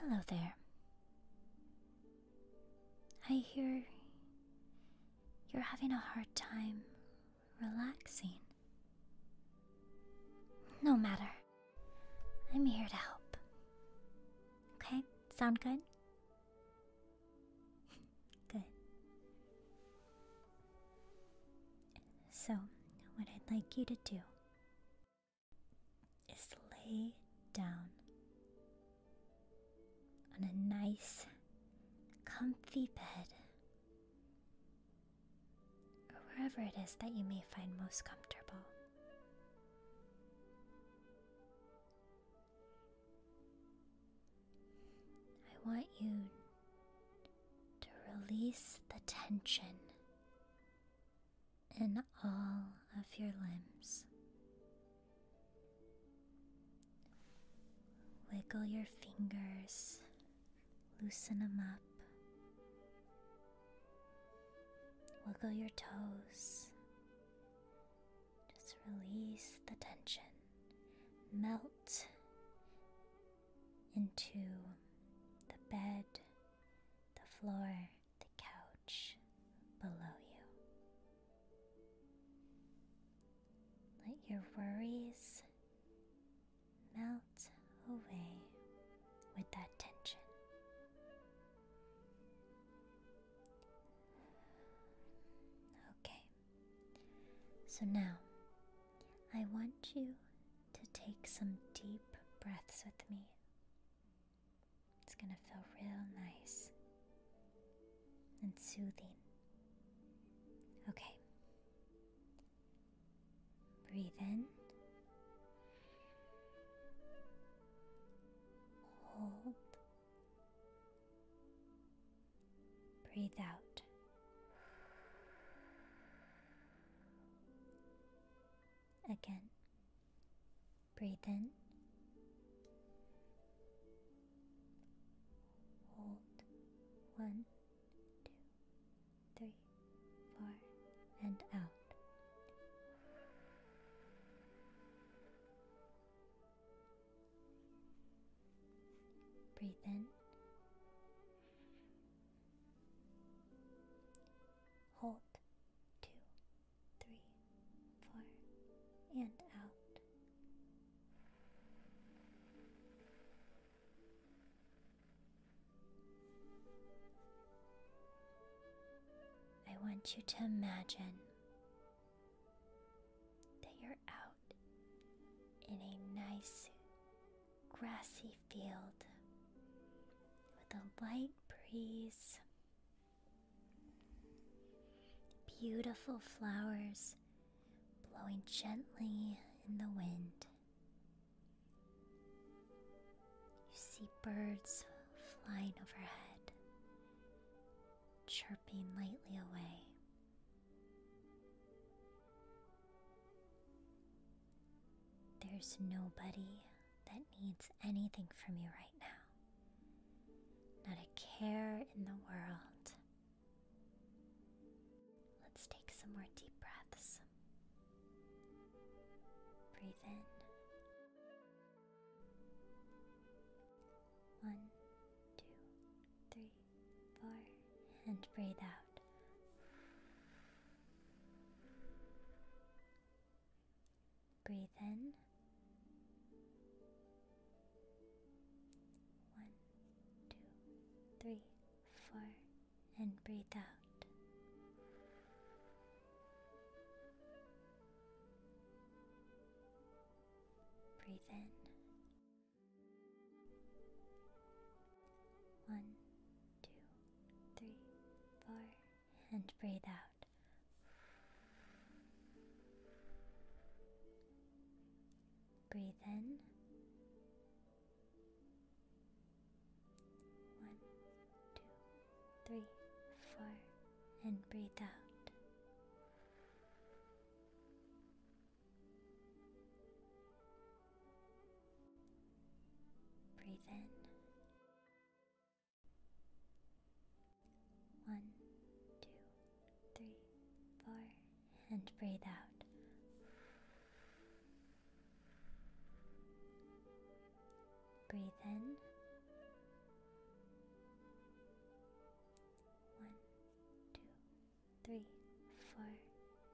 Hello there. I hear you're having a hard time relaxing. No matter. I'm here to help. Okay? Sound good? good. So, what I'd like you to do is lay down on a nice, comfy bed, or wherever it is that you may find most comfortable. I want you to release the tension in all of your limbs. Wiggle your fingers, loosen them up, Wiggle your toes. Just release the tension. Melt into the bed, the floor, the couch below you. Let your worries melt away with that tension. Okay, so now I want you to take some deep breaths with me. It's going to feel real nice and soothing. Okay. Breathe in Hold. Breathe out. Again. Breathe in. Hold. One, two, three, four, and out. Breathe in. Hold. Two, three, four, and out. I want you to imagine that you're out in a nice grassy field with a light breeze, beautiful flowers blowing gently in the wind. You see birds flying overhead, chirping lightly away. There's nobody that needs anything from you right now. Not a care in the world. Let's take some more deep breaths. Breathe in one, two, three, four, and breathe out. Breathe in. One, two, three, four, and breathe out. Breathe in. One, two, three, four, and breathe out. Breathe in. One, two, three, four and breathe out. Breathe in. One, two, three, four, and breathe out. Breathe in. One, two, three, four,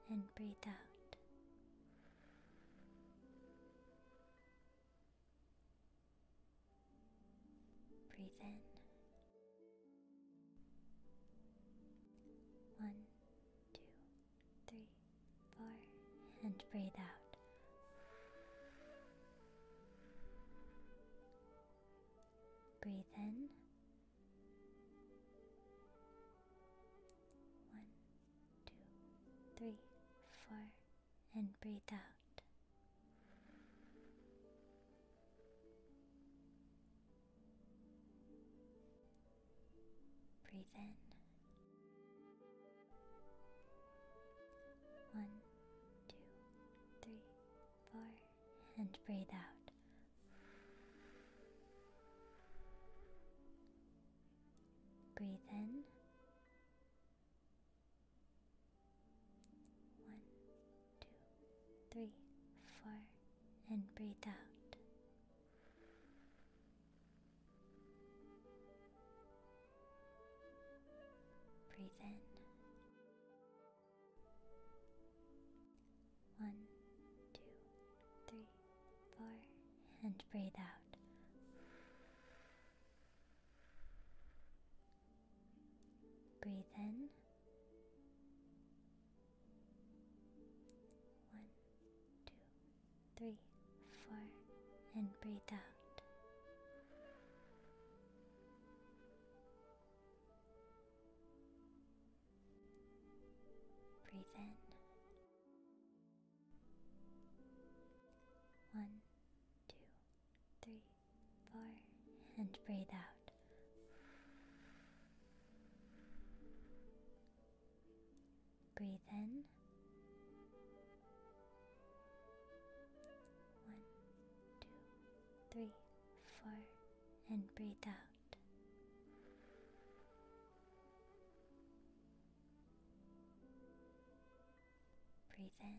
and breathe out. Breathe in. One, two, three, four, and breathe out. Breathe in. One, two, three, four, and breathe out. Breathe in. One, two, three, four, and breathe out. Breathe in. One, two, three, four, and breathe out. Breathe in. One, two, three, four, and breathe out. Breathe in. One, two, three, four, and breathe out. Breathe in. One, two, three, four, and breathe out. Breathe in. One, two, three, four, and breathe out. Breathe in.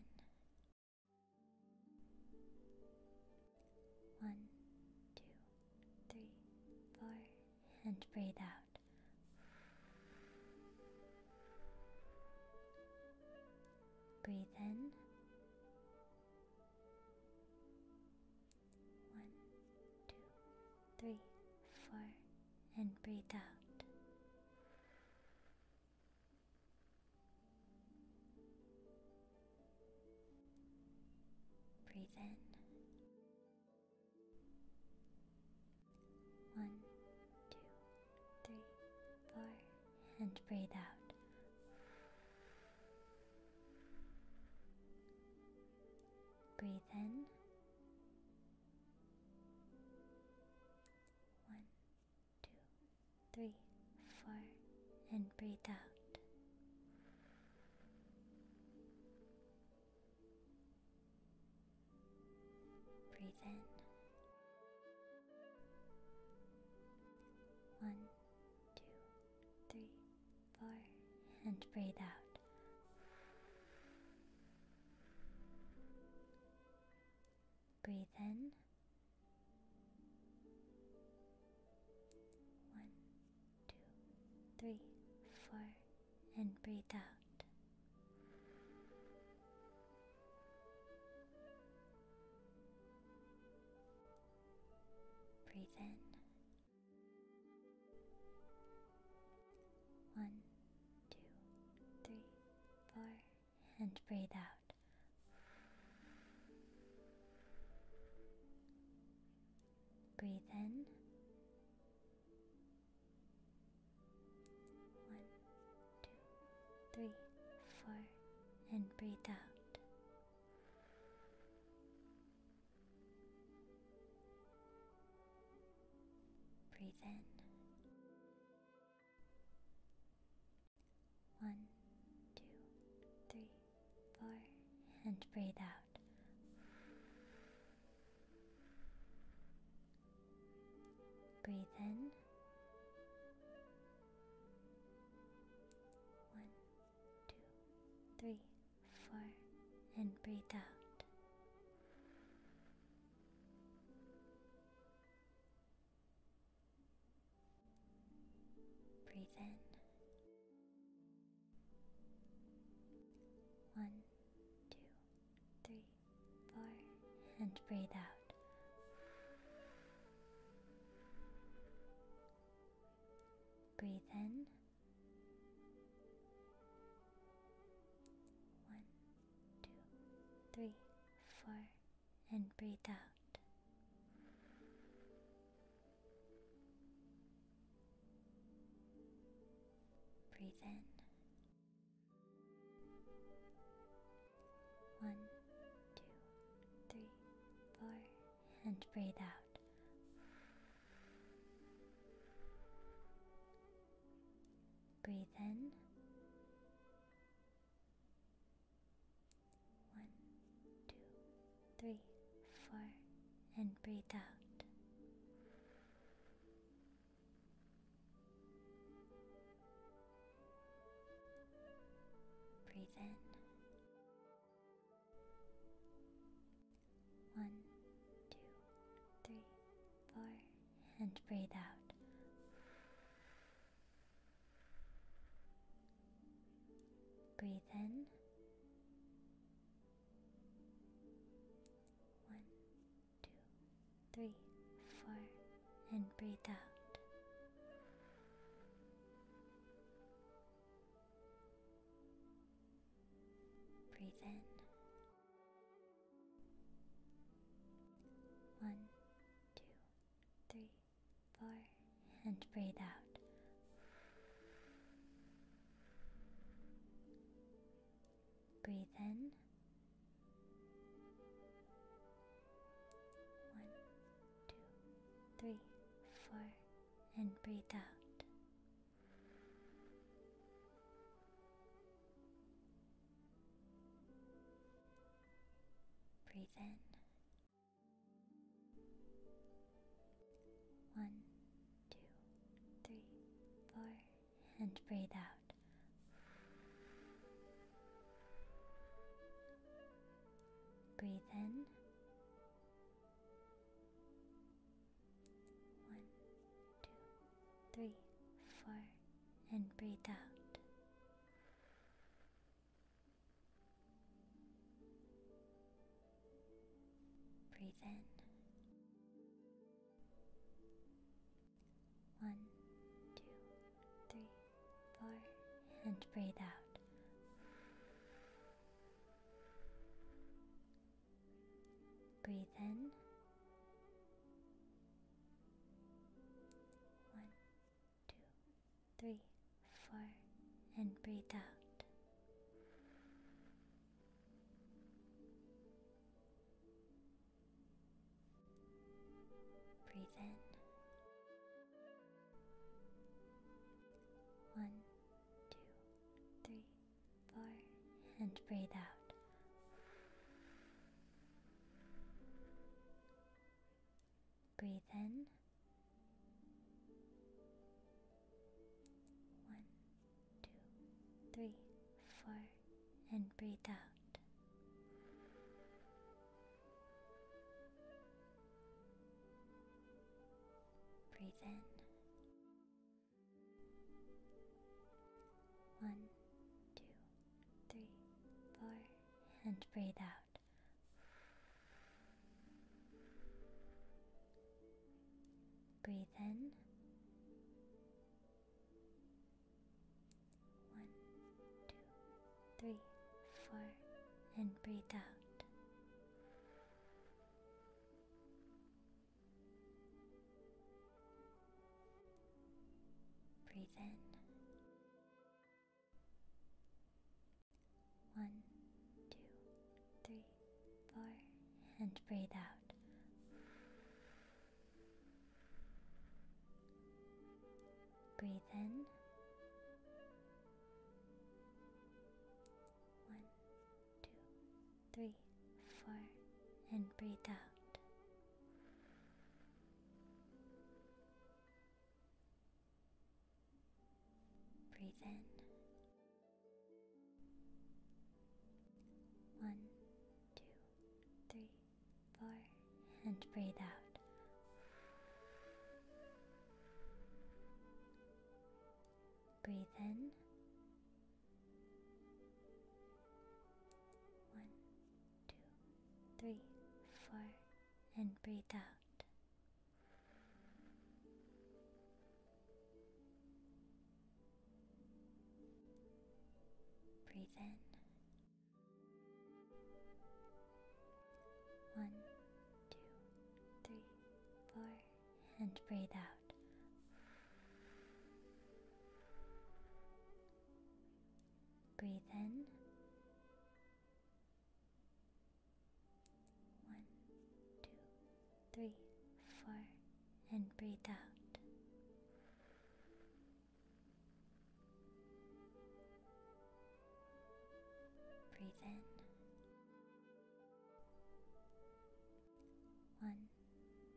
One, two, three, four, and breathe out. Breathe in. One, two, three, four, and breathe out. Breathe in. One, two, three, four, and breathe out. Breathe in. One, two, three, four, and breathe out. Breathe in. One, two, three, four, and breathe out. Breathe in. One, two, three, four, and breathe out. Breathe in. One, two, three, four, and breathe out. Breathe in. One, two, three, four, and breathe out. Breathe in. One, two, three, four, and breathe out. Breathe in. One, two, three, four, and breathe out. Breathe in. One, two, three, four, and breathe out. Breathe in. One, two, three, four, and breathe out. Breathe in. One, two, three, four, and breathe out. Breathe in. One, two, three, four, and breathe out. Breathe in. One, two, three, four, and breathe out. Breathe in. One, two, three, four, and breathe out. Breathe in. One, two, three, four, and breathe out. Breathe in. One, two, three, four, and breathe out. Breathe in. One, two, three, four, and breathe out. Breathe in. One, two, three, four, and breathe out. Breathe in. One, two, three, four, and breathe out. Breathe in. One, two, three, four, and breathe out. Breathe in. One, two, three, four, and breathe out. Breathe in. One, two, three, four, and breathe out. Breathe in. One, two, three, four, and breathe out. Breathe in one, two, three, four, and breathe out. Breathe in. One, two, three, four, and breathe out. Breathe in. One, two, three, four, and breathe out. Breathe in. One, two, three, four, and breathe out. Breathe in. One, two, three, four, and breathe out. Breathe in one, two, three, four, and breathe out. Breathe in. One, two, three, four, and breathe out. Breathe in. One,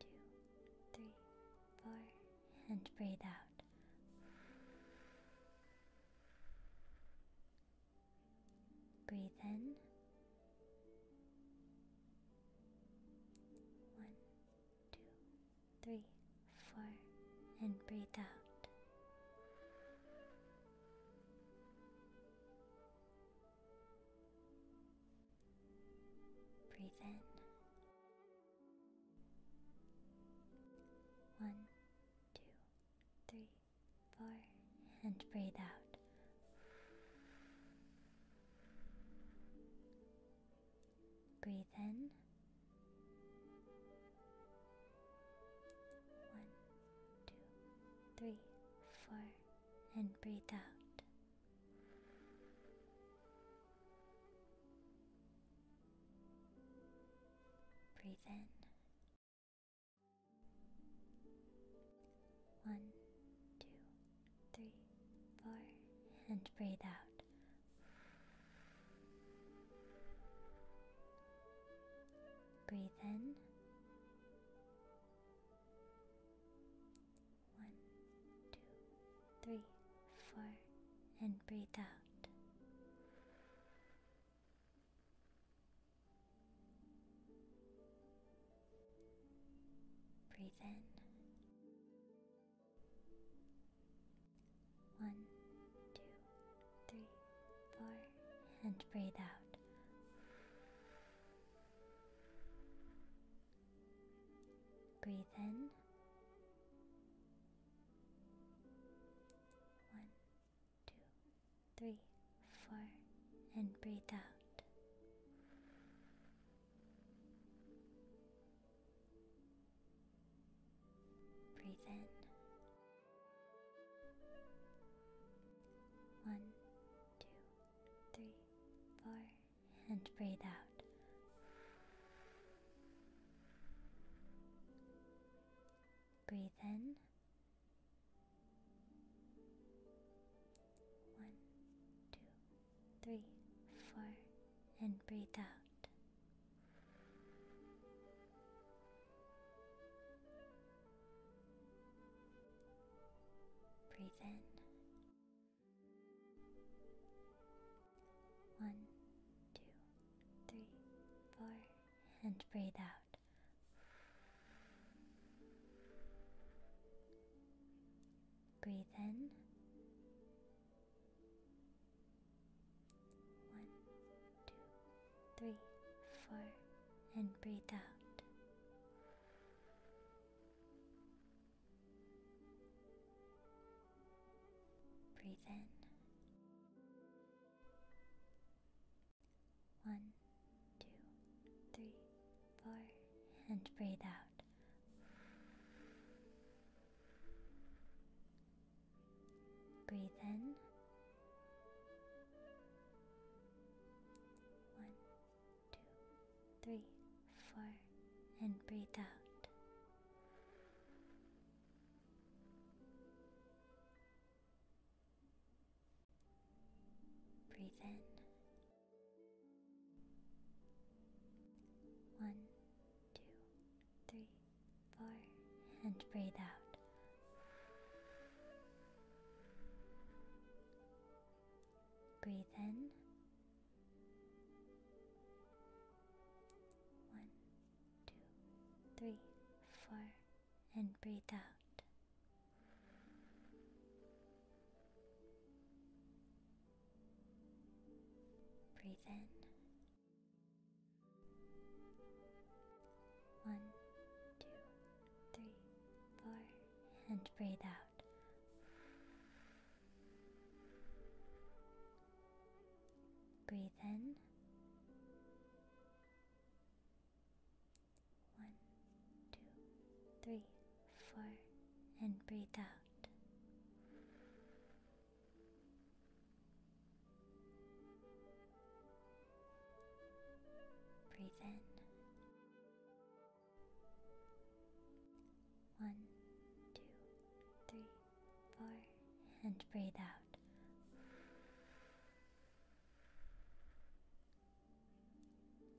two, three, four, and breathe out. Breathe in. One, two, three, four, and breathe out. Breathe in. One, two, three, four, and breathe out. Breathe in. One, two, three, four, and breathe out. Breathe in. One, two, three, four, and breathe out. Breathe in. One, two, three, four, and breathe out. Breathe in. One, two, three, four, and breathe out. Breathe in. One, two, three, four, and breathe out. Breathe in. One, two, three, four, and breathe out. Breathe in. One, two, three, four, and breathe out. Breathe in. One, two, three, four, and breathe out. Breathe in. One, two, three, four, and breathe out. Breathe in. One, two, three, four, and breathe out. Breathe in. One, two, three, four, and breathe out. Breathe in. One, two, three, four, and breathe out. Breathe in. One, two, three, four, and breathe out. Breathe in. One, two, three, four, and breathe out. Breathe in. One, two, three, four, and breathe out. Breathe in. One, two, three, four, and breathe out.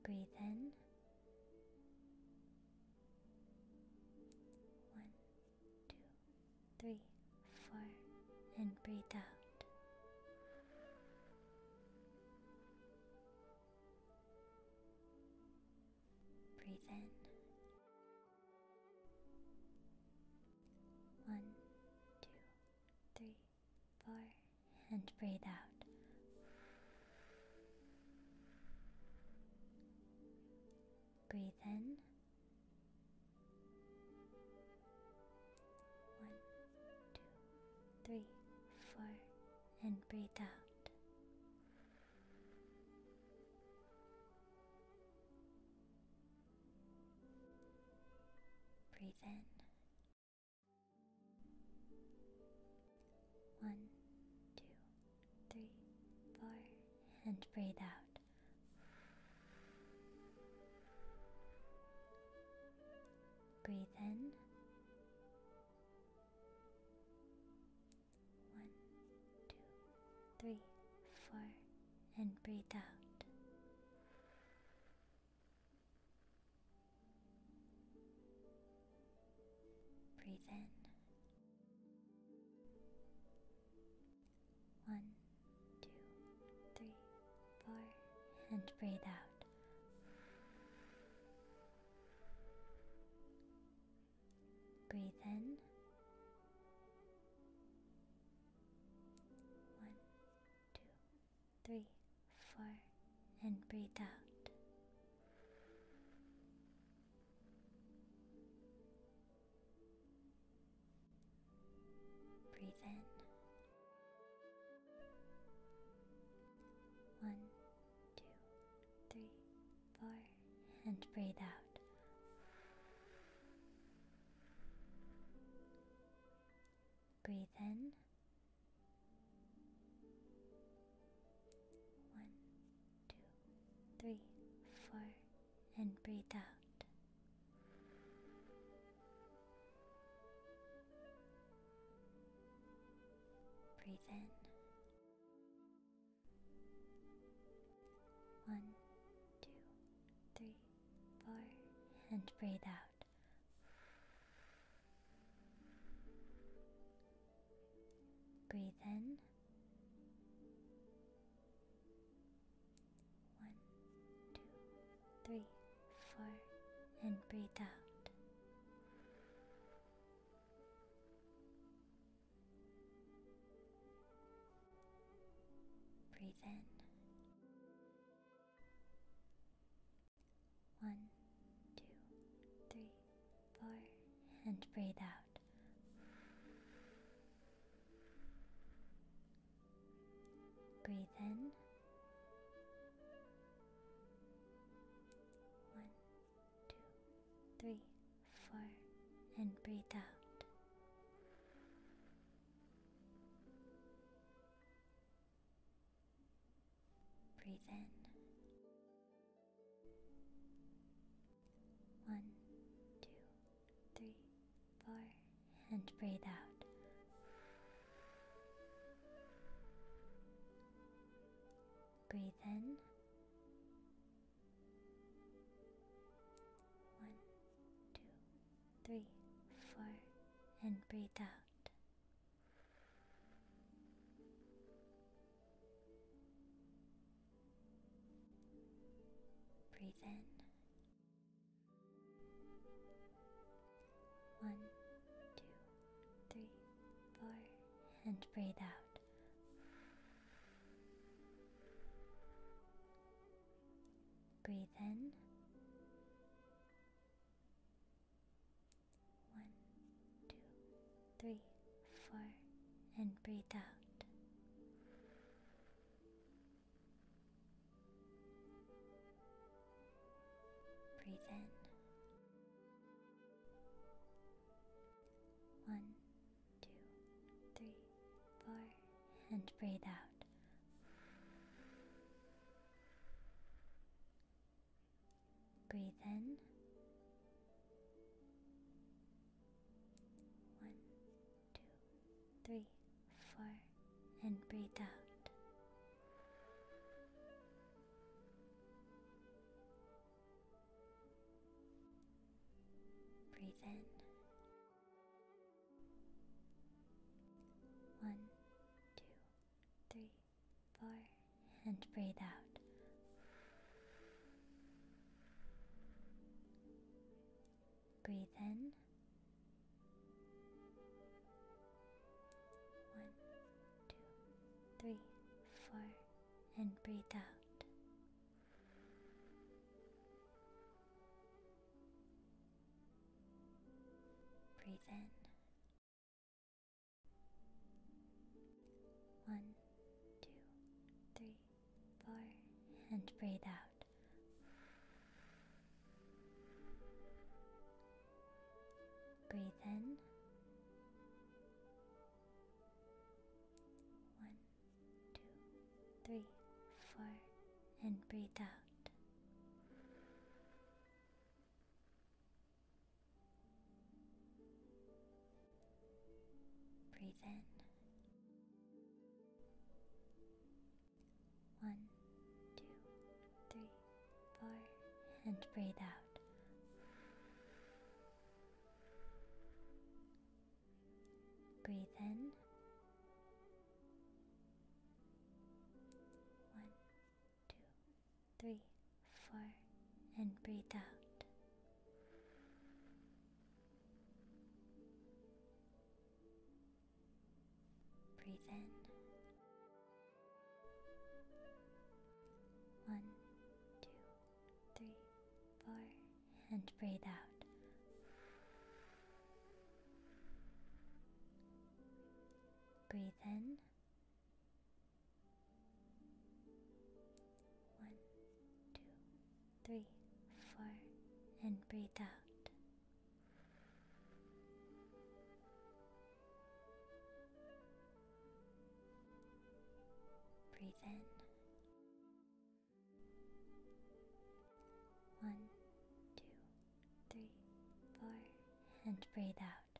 Breathe in. One, two, three, four, and breathe out. Breathe in. One, two, three, four, and breathe out. Breathe in. One, two, three, four, and breathe out. Breathe in. One, two, three, four, and breathe out. Breathe in. One, two, three, four, and breathe out. Breathe in. One, two, three, four, and breathe out. Breathe in. One, two, three, four, and breathe out. Breathe in. One, two, three, four, and breathe out. Breathe in. One, two, three, four, and breathe out. Breathe in. One, two, three, four, and breathe out. Breathe in one, two, three, four, and breathe out. Breathe in. One, two, three, four, and breathe out. Breathe in. One, two, three, four, and breathe out. Breathe in. One, two, three, four, and breathe out. Breathe in. One, two, three, four, and breathe out. Breathe in. One, two, three, four, and breathe out. Breathe in. One, two, three, four, and breathe out. Breathe in. One, two, three, four, and breathe out. Breathe in. One, two, three, four, and breathe out. Breathe in. One, two, three, four, and breathe out. Breathe in. One, two, three, four, and breathe out. Breathe in. One, two, three, four, and breathe out. Breathe in. One, two, three, four, and breathe out. Breathe in. One, two, three, four, and breathe out. Breathe in. One, two, three, four, and breathe out. Breathe in. One, two, three, four, and breathe out. Breathe in. One, two, three, four, and breathe out. Breathe in. One, two, three, four, and breathe out.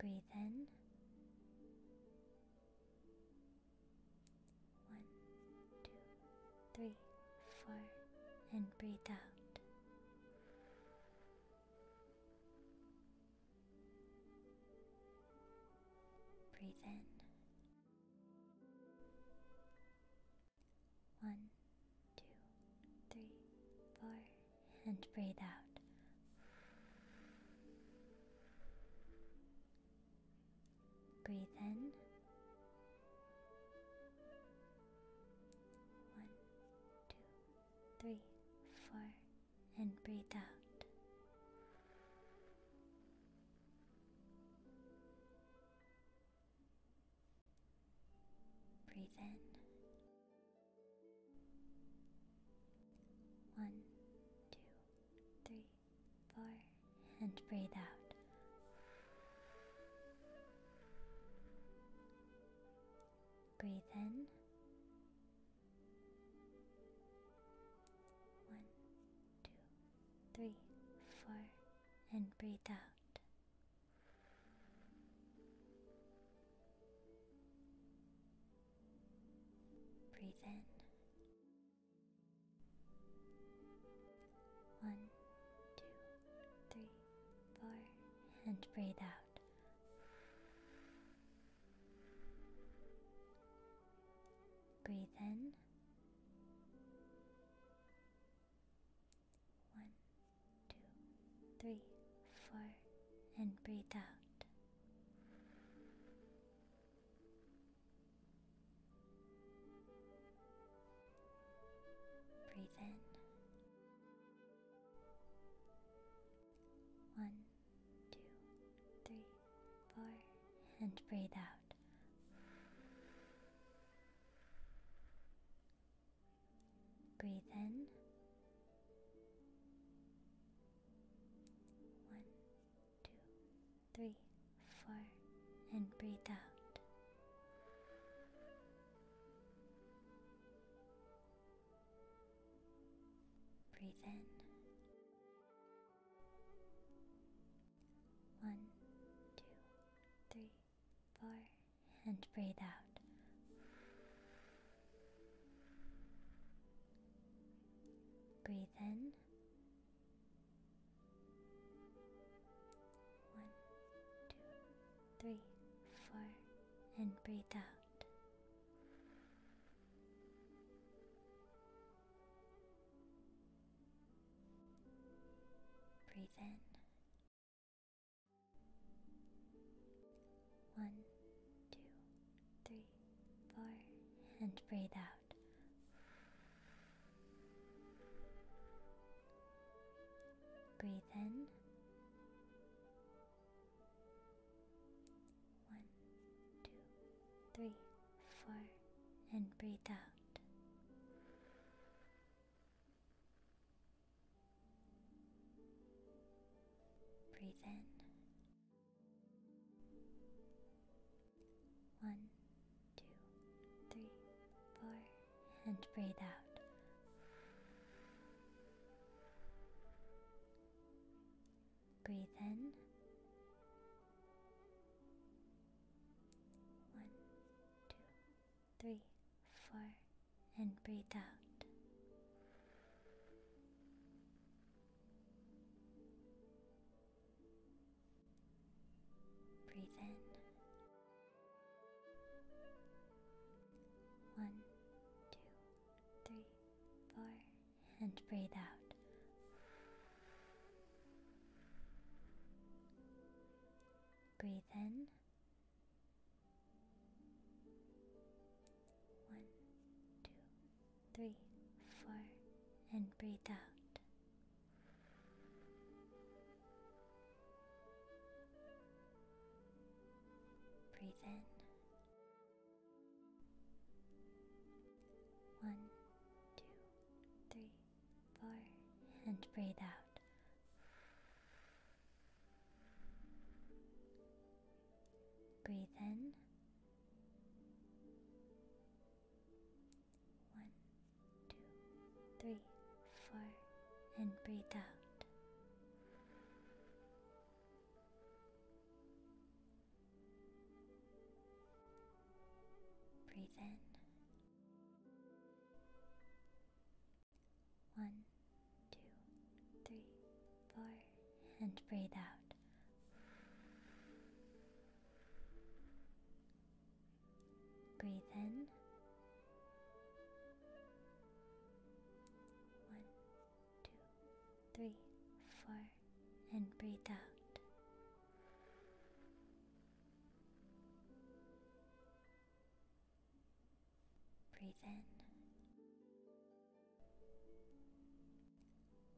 Breathe in. One, two, three, four, and breathe out. Breathe in. One, two, three, four, and breathe out. Breathe in. One, two, three, four, and breathe out. Breathe in. One, two, three, four, and breathe out. Breathe in. One, two, three, four, and breathe out. Breathe in. One, two, three, four, and breathe out. Breathe in. One, two, three, four, and breathe out. Breathe in. One, two, three, four, and breathe out. Breathe in. One, two, three, four, and breathe out. Breathe in. One, two, three, four, and breathe out. Breathe in. One, two, three, four, and breathe out. Breathe in. One, two, three, four, and breathe out. Breathe in. One, two, three, four, and breathe out. Breathe in. One, two, three, four, and breathe out. Breathe in. One, two, three, four, and breathe out. Breathe in. One, two, three, four, and breathe out. Breathe in. One, two, three, four, and breathe out. Breathe in. One, two, three, four, and breathe out. Breathe in. One, two, three, four, and breathe out. Breathe in. One, two, three, four, and breathe out. Breathe in. One, two, three, four, and breathe out. Breathe in.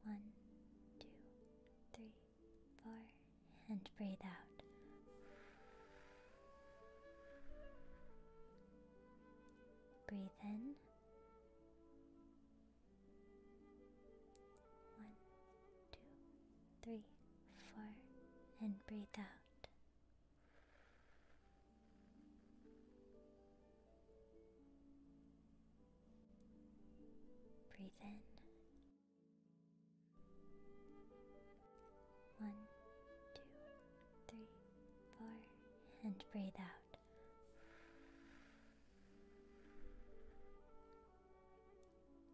One, two, three, four, and breathe out. Breathe in. One, two, three, four, and breathe out. Breathe in. One, two, three, four, and breathe out.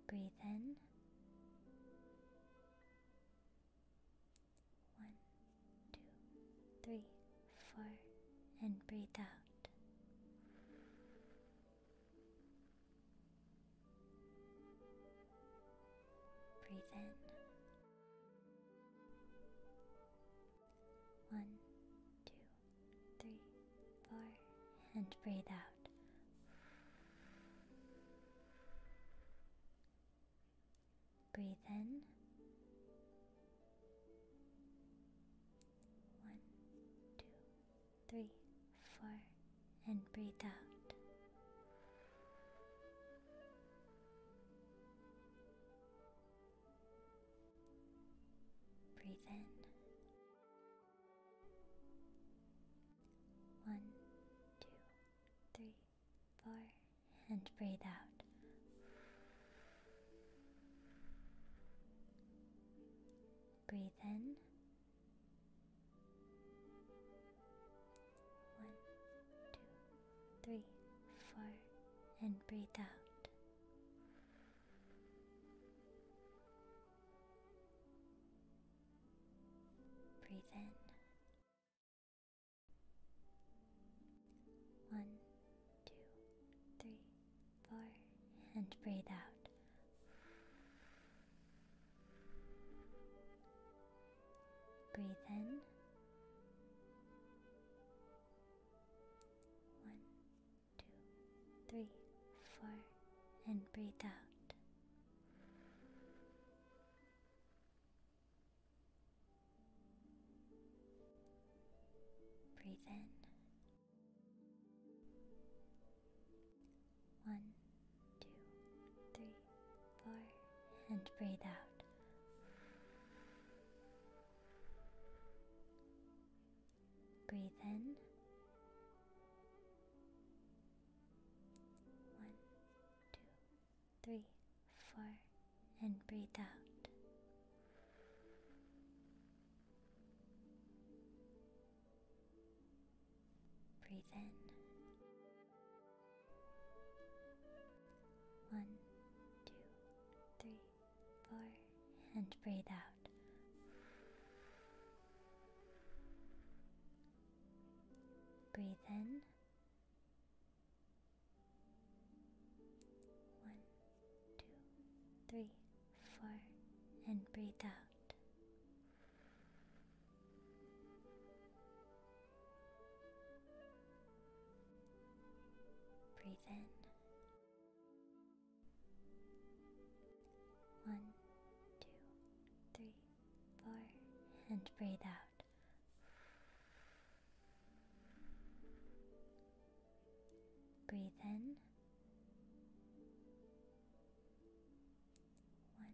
Breathe in. One, two, three, four, and breathe out. Breathe in. One, two, three, four, and breathe out. Breathe in. One, two, three, four, and breathe out. Breathe in. One, two, three, four, and breathe out. Breathe in. One, two, three, four, and breathe out. Breathe in. One, two, three, four, and breathe out. Breathe in. One, two, three, four, and breathe out. Breathe in. One, two, three, four, and breathe out. Breathe in. One, two, three, four, and breathe out. Breathe in. One, two, three, four, and breathe out. Breathe in. One, two, three, four, and breathe out. Breathe in. One, two, three, four, and breathe out. Breathe in. One,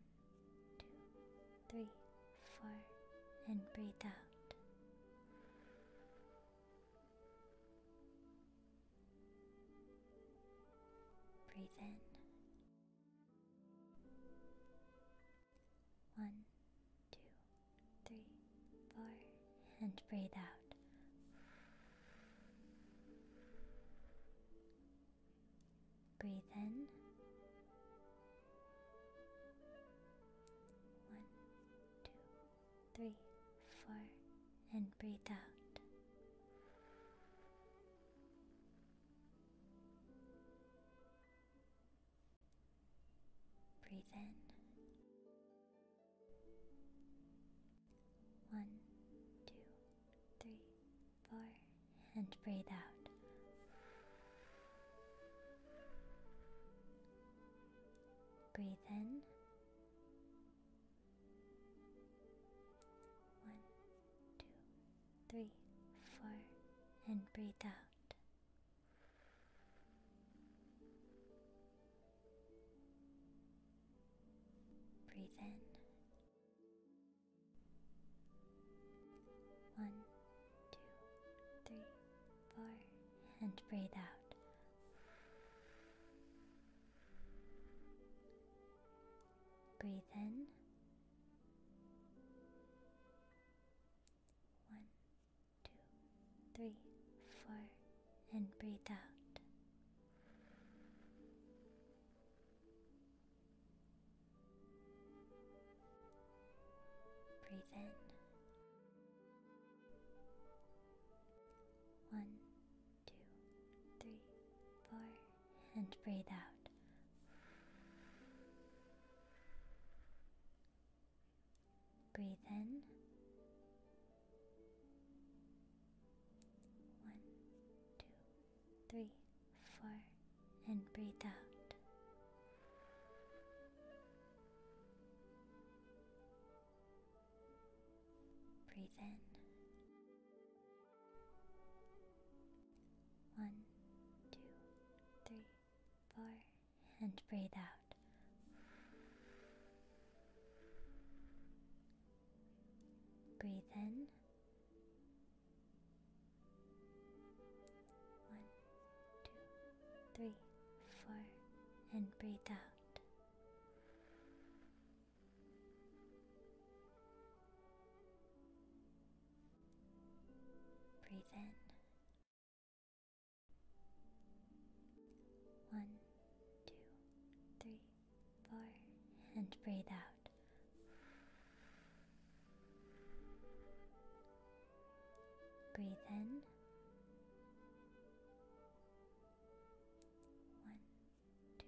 two, three, four, and breathe out. Breathe in. One, two, three, four, and breathe out. Breathe in. One, two, three, four, and breathe out. Breathe in. One, two, three, four, and breathe out. Breathe in. One, two, three, four, and breathe out. Breathe in. One, two, three, four, and breathe out. Breathe in. One, two, three, four, and breathe out. Breathe in. One, two, three, four, and breathe out. Breathe in. One, two, three, four, and breathe out. Breathe in. One, two, three, four, and breathe out. Breathe in. One, two, three, four, and breathe out. Breathe in. One, two, three, four, and breathe out. Breathe in. One, two,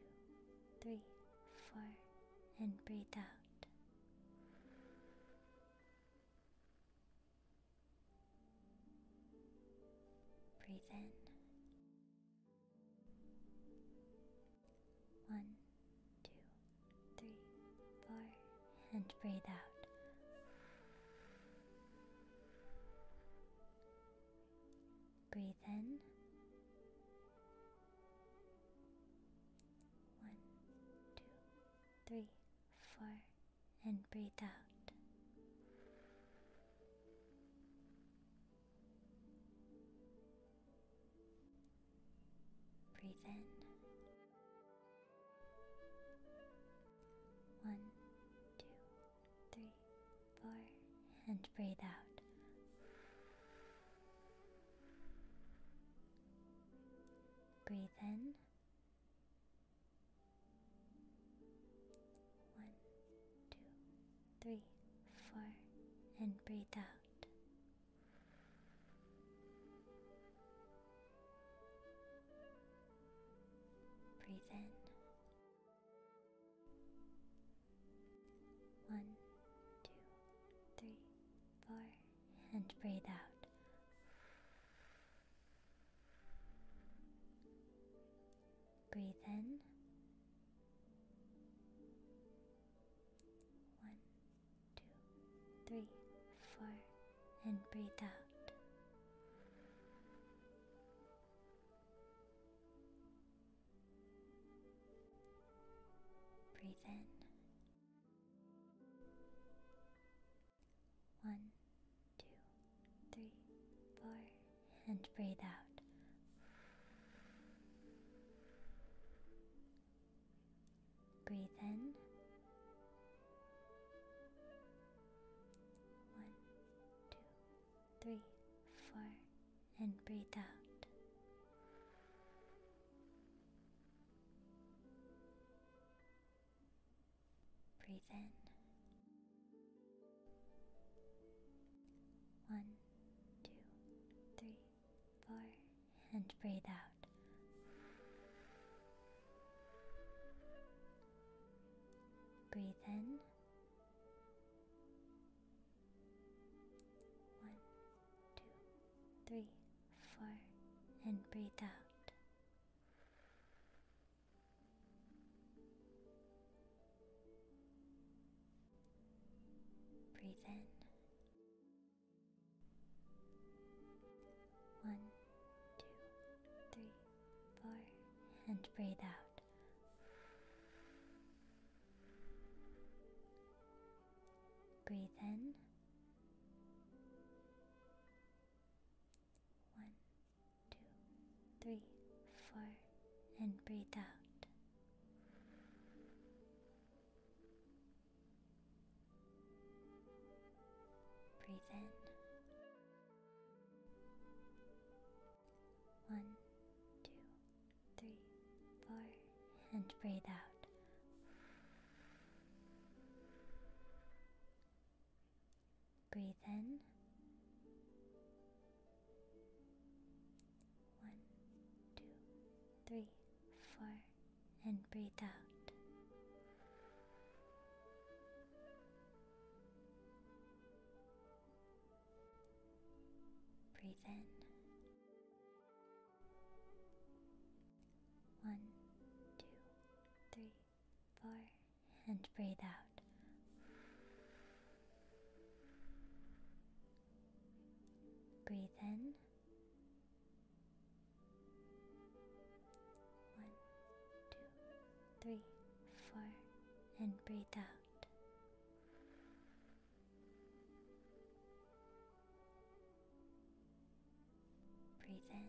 three, four, and breathe out. Breathe in. One, two, three, four, and breathe out. Breathe in. One, two, three, four, and breathe out. Breathe in. One, two, three, four, and breathe out. Breathe in. One, two, three, four, and breathe out. Breathe in. One, two, three, four, and breathe out. Breathe in. One, two, three, four, and breathe out. Breathe in. One, two, three, four, and breathe out. Breathe in. One, two, three, four, and breathe out. Breathe in. One, two, three, four, and breathe out. Breathe in. One, two, three, four, and breathe out. Breathe in. One, two, three, four, and breathe out. Breathe in. One, two, three, four, and breathe out. Breathe in. One, two, three, four, and breathe out. Breathe in. One, two, three, four, and breathe out. Breathe in. One, two, three, four, and breathe out. Breathe in. One, two, three, four, and breathe out. Breathe in.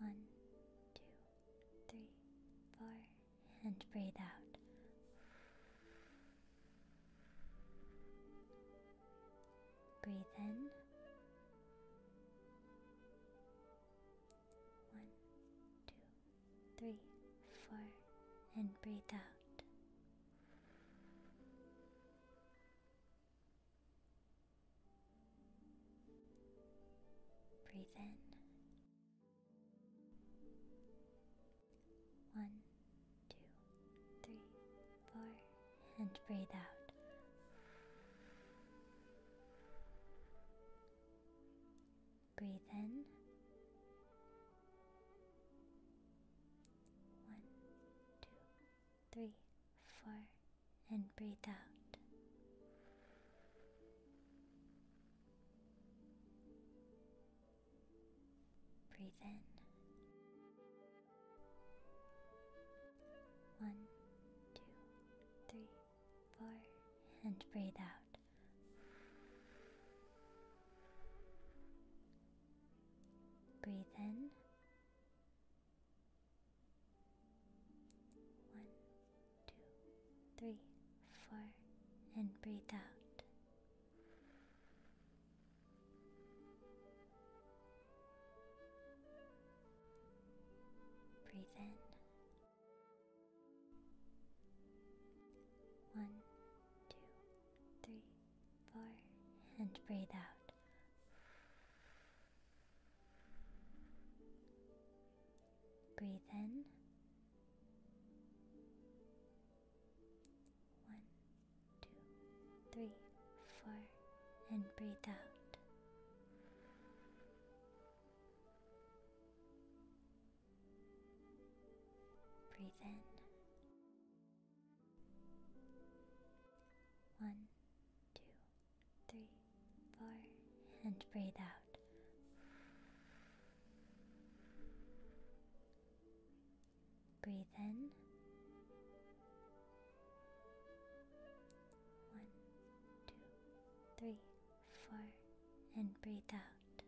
One, two, three, four, and breathe out. Breathe in. One, two, three, four, and breathe out. Breathe in. One, two, three, four, and breathe out. Breathe in. One, two, three, four, and breathe out. Breathe in. One, two, three, four, and breathe out. Breathe in. One, two, three, four, and breathe out. Breathe in. One, two, three, four, and breathe out. Breathe in. One, two, three, four, and breathe out. Breathe in. One, two, three, four, and breathe out. Breathe in. One, two, three, four, and breathe out.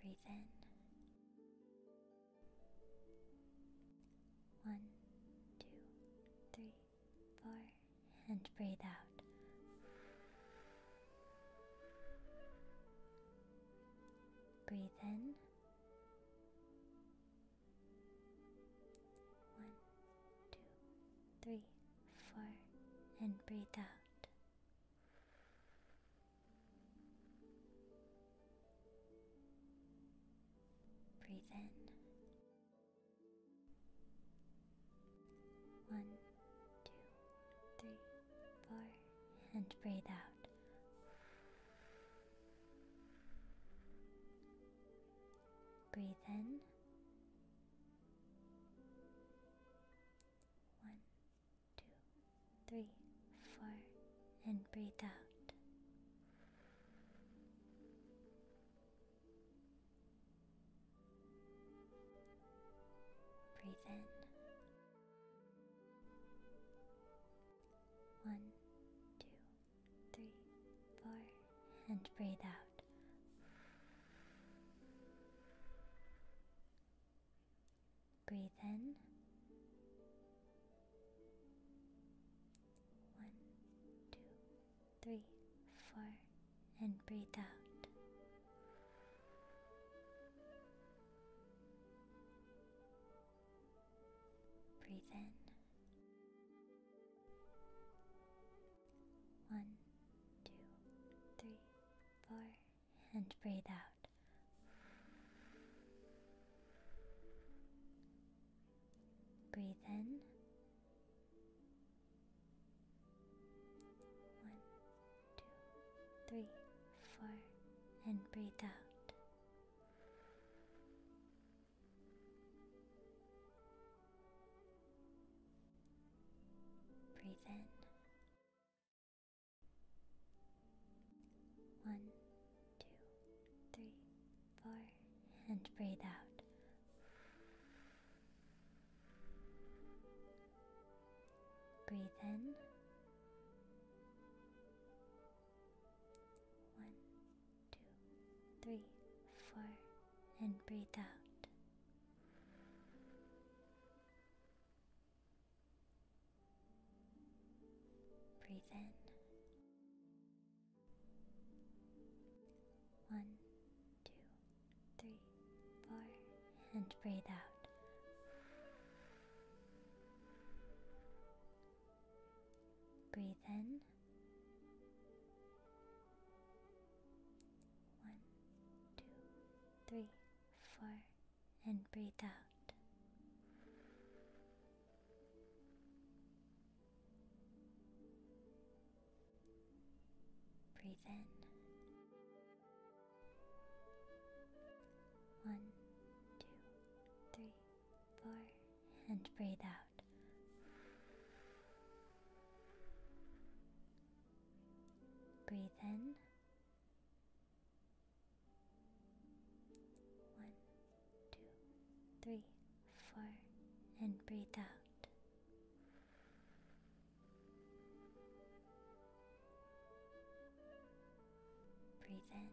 Breathe in. One, two, three, four, and breathe out. Breathe in. One, two, three, four, and breathe out. Breathe in. One, two, three, four, and breathe out. Breathe in. One, two, three, four, and breathe out. Breathe in. One, two, three, four, and breathe out. Breathe in. One, two, three, four, and breathe out. Breathe in. One, two, three, four, and breathe out. Breathe in. One, two, three, four, and breathe out. Breathe in. One, two, three, four, and breathe out. Breathe in. One, two, three, four, and breathe out. Breathe in. One, two, three, four, and breathe out. Breathe in. One, two, three, four, and breathe out. Breathe in. One, two, three, four, and breathe out. Breathe in. One, two, three, four, and breathe out. Breathe in.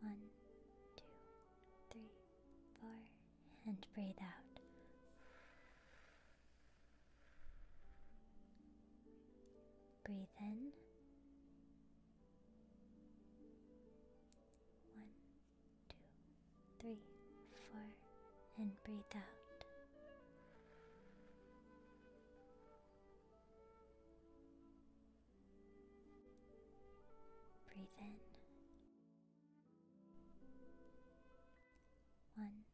One, two, three, four, and breathe out. Breathe in. One, two, three, four, and breathe out. Breathe in. One,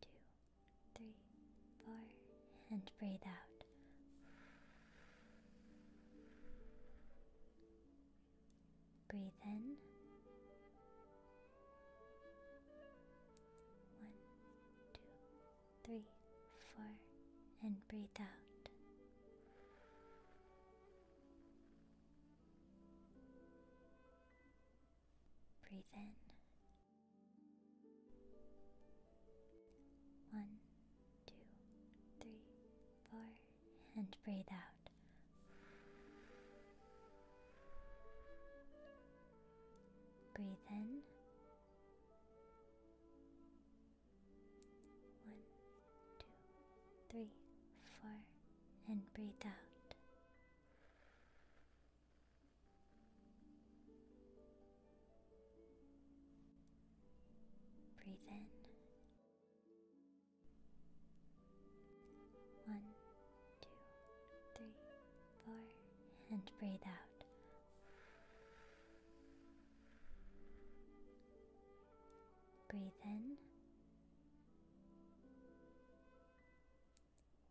two, three, four, and breathe out. Breathe in. One, two, three, four, and breathe out. Breathe in. One, two, three, four, and breathe out. Breathe in. One, two, three, four, and breathe out. Breathe in. One, two, three, four, and breathe out. Breathe in.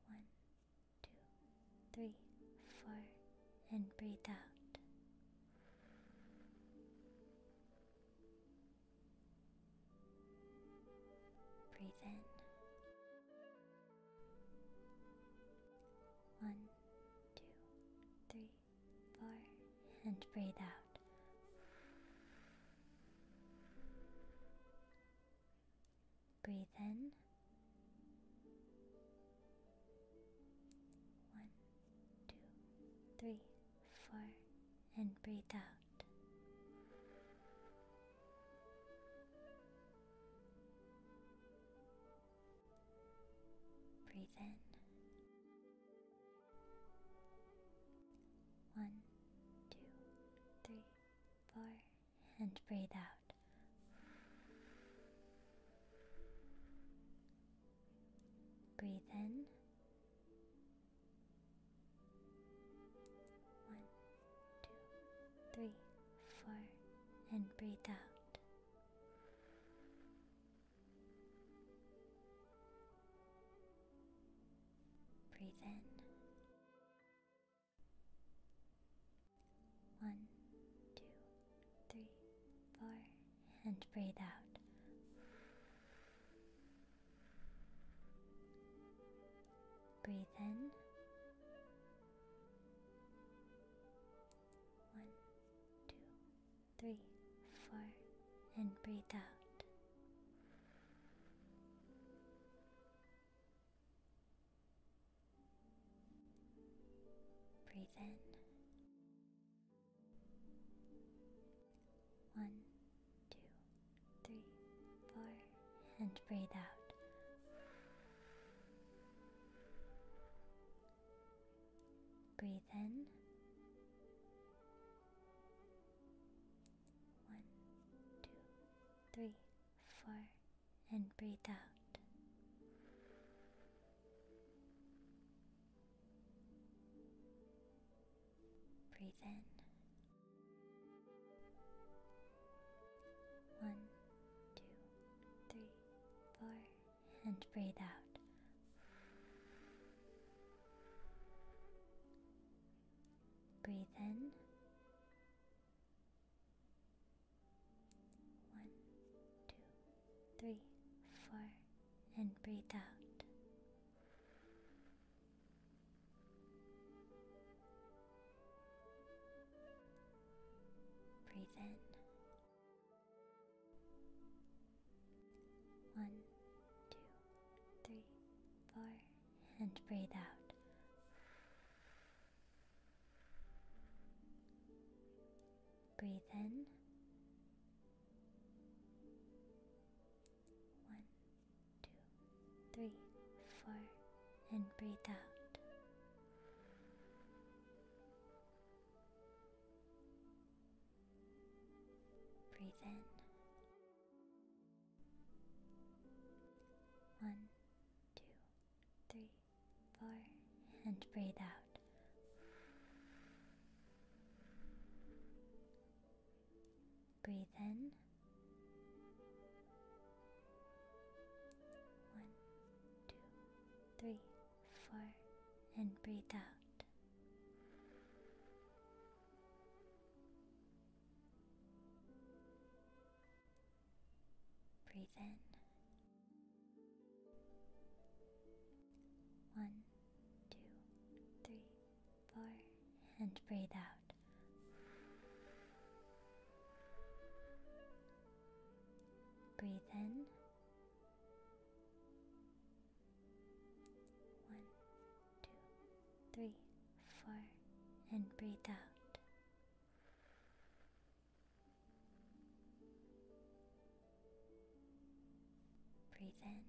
One, two, three, four, and breathe out. Breathe in. One, two, three, four, and breathe out. Breathe in. One, two, three, four, and breathe out. Breathe in. One, two, three, four, and breathe out. Breathe in. One, two, three, four, and breathe out. Breathe in. One, two, three, four and breathe out. Breathe in. One, two, three, four, and breathe out. Breathe in. One, two, three, four, and breathe out. Breathe in. One, two, three, four, and breathe out. Breathe in. One, two, three, four, and breathe out. Breathe in. One, two, three, four, and breathe out. Breathe in. One, two, three, four, and breathe out. Breathe in. One, two, three, four, and breathe out. Breathe in. One, two, three, four, and breathe out. Breathe in. One, two, three, four, and breathe out. Breathe in. One, two, three, four, and breathe out. Breathe in. One, two, three, four, and breathe out. Breathe in.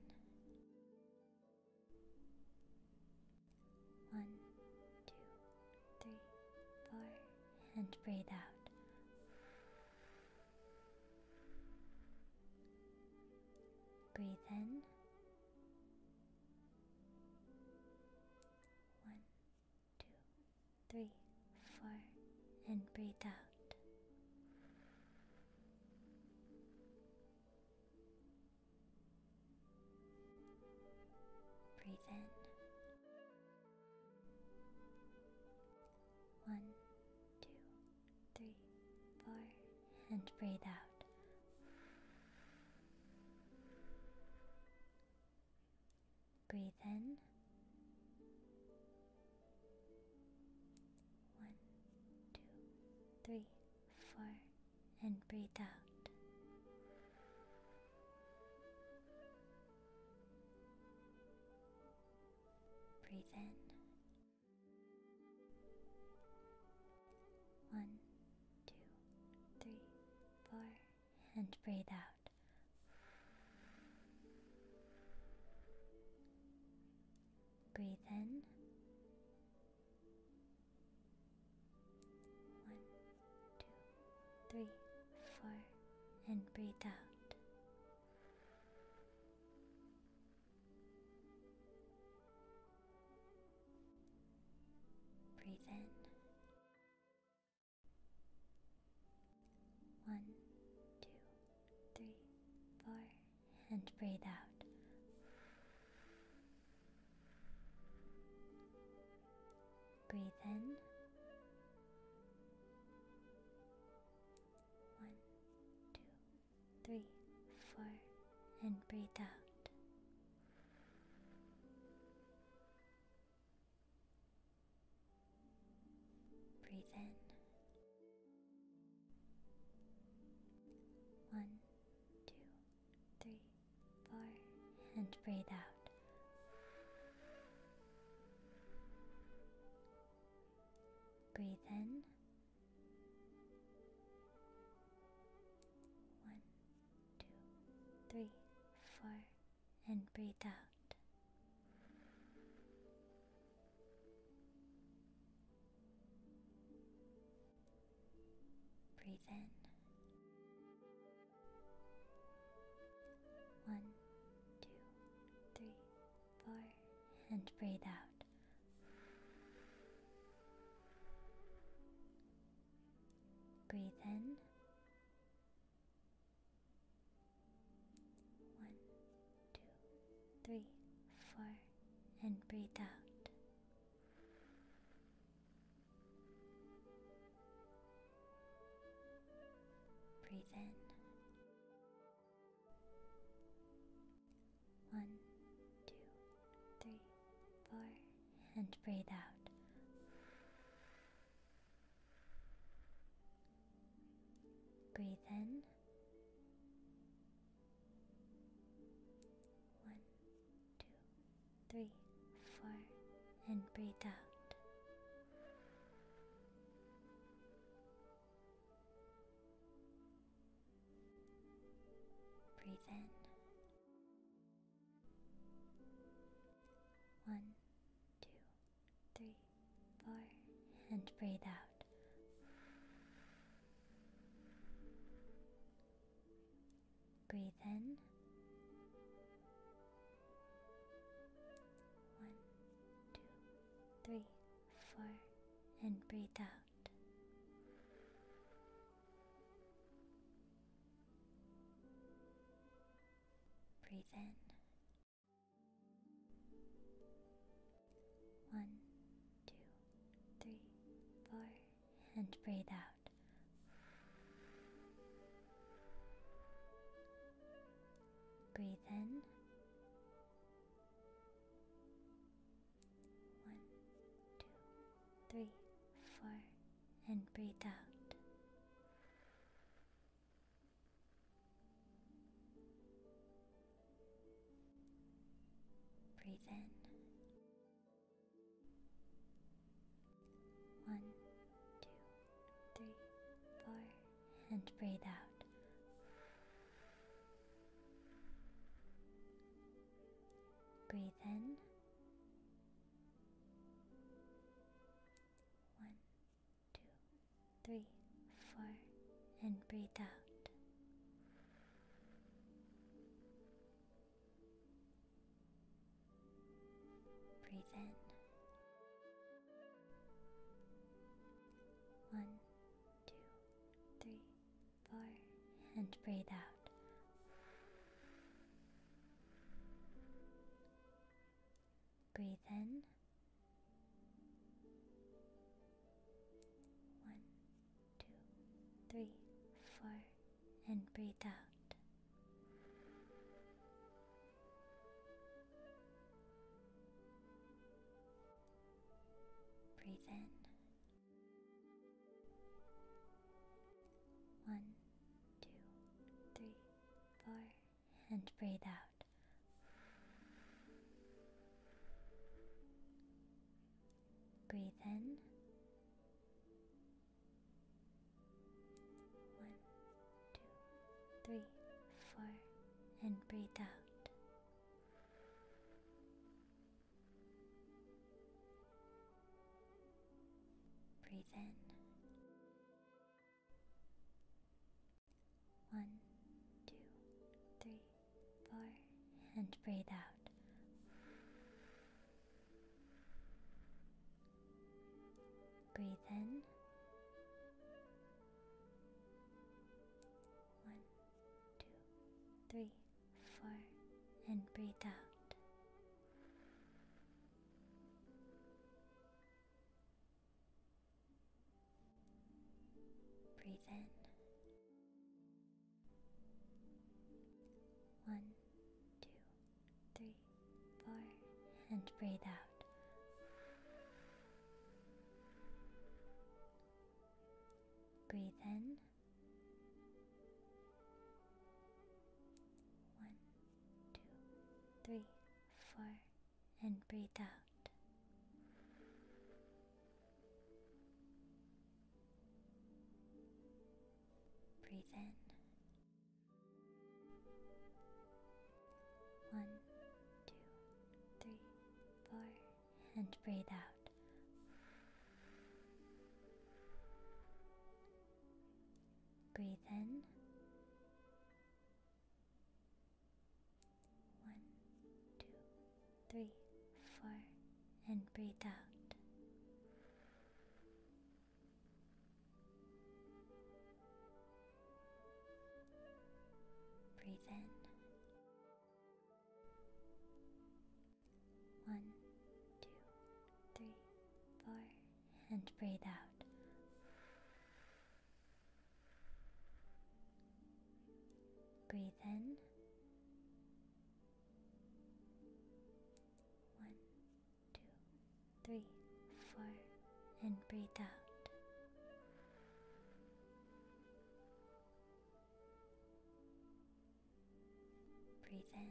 One, two, three, four, and breathe out. Breathe in. One, two, three, four, and breathe out. Breathe in. One, two, three, four, and breathe out. Breathe in. One, two, three, four, and breathe out. Breathe in. One, two, three, four, and breathe out. Breathe in. One, two, three, four, and breathe out. Breathe in. One, two, three, four, and breathe out. Breathe in. One, two, three, four, and breathe out. Breathe in. One, two, three, four, and breathe out. Breathe in. One, two, three, four, and breathe out. Breathe in. One, two, three, four, and breathe out. Breathe in. One, two, three, four, and breathe out. Breathe in. One, two, three, four, and breathe out. Breathe in. One, two, three, four, and breathe out. Breathe in. One, two, three, four, and breathe out. Breathe in. One, two, three, four, and breathe out. Breathe in. One, two, three, four, and breathe out. Breathe in. One, two, three, four, and breathe out. Breathe in. One, two, three, four, and breathe out. Breathe in. One, two, three, four, and breathe out. Breathe in. One, two, three, four, and breathe out. Breathe in. One, two, three, four, and breathe out. Breathe in. One, two, three, four, and breathe out. Breathe in. One, two, three, four, and breathe out. Breathe in. One, two, three, four, and breathe out. Breathe in. One, two, three, four, and breathe out. Breathe in. One, two, three, four, and breathe out. Breathe in. One, two, three, four, and breathe out. Breathe in. One, two, three, four, and breathe out. Breathe in. One, two, three, four, and breathe out. Breathe in. One, two, three, four, and breathe out. Breathe in. One, two, three, four, and breathe out. Breathe in.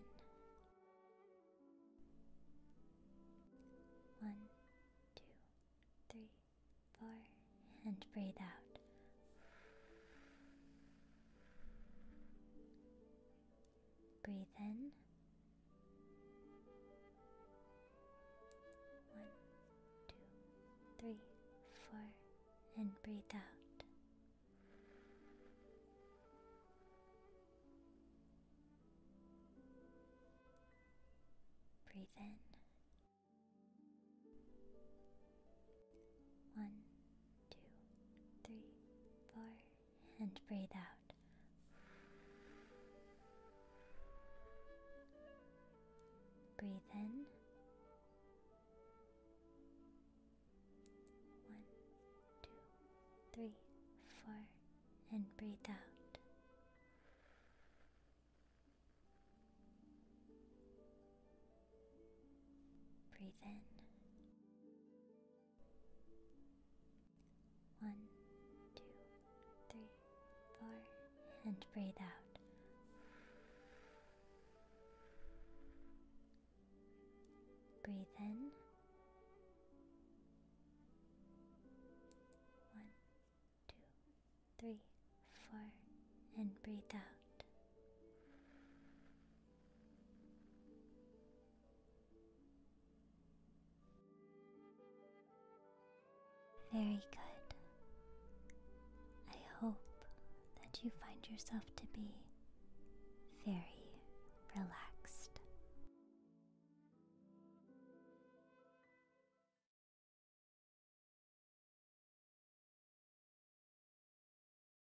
One, two, three, four, and breathe out. Breathe in. One, two, three, four, and breathe out. Breathe in. One, two, three, four, and breathe out. Breathe in. One, two, three, four, and breathe out. Breathe in. One, two, three, four, and breathe out. Breathe in. One, two, three, four, and breathe out. Very good. I hope that you find yourself to be very relaxed.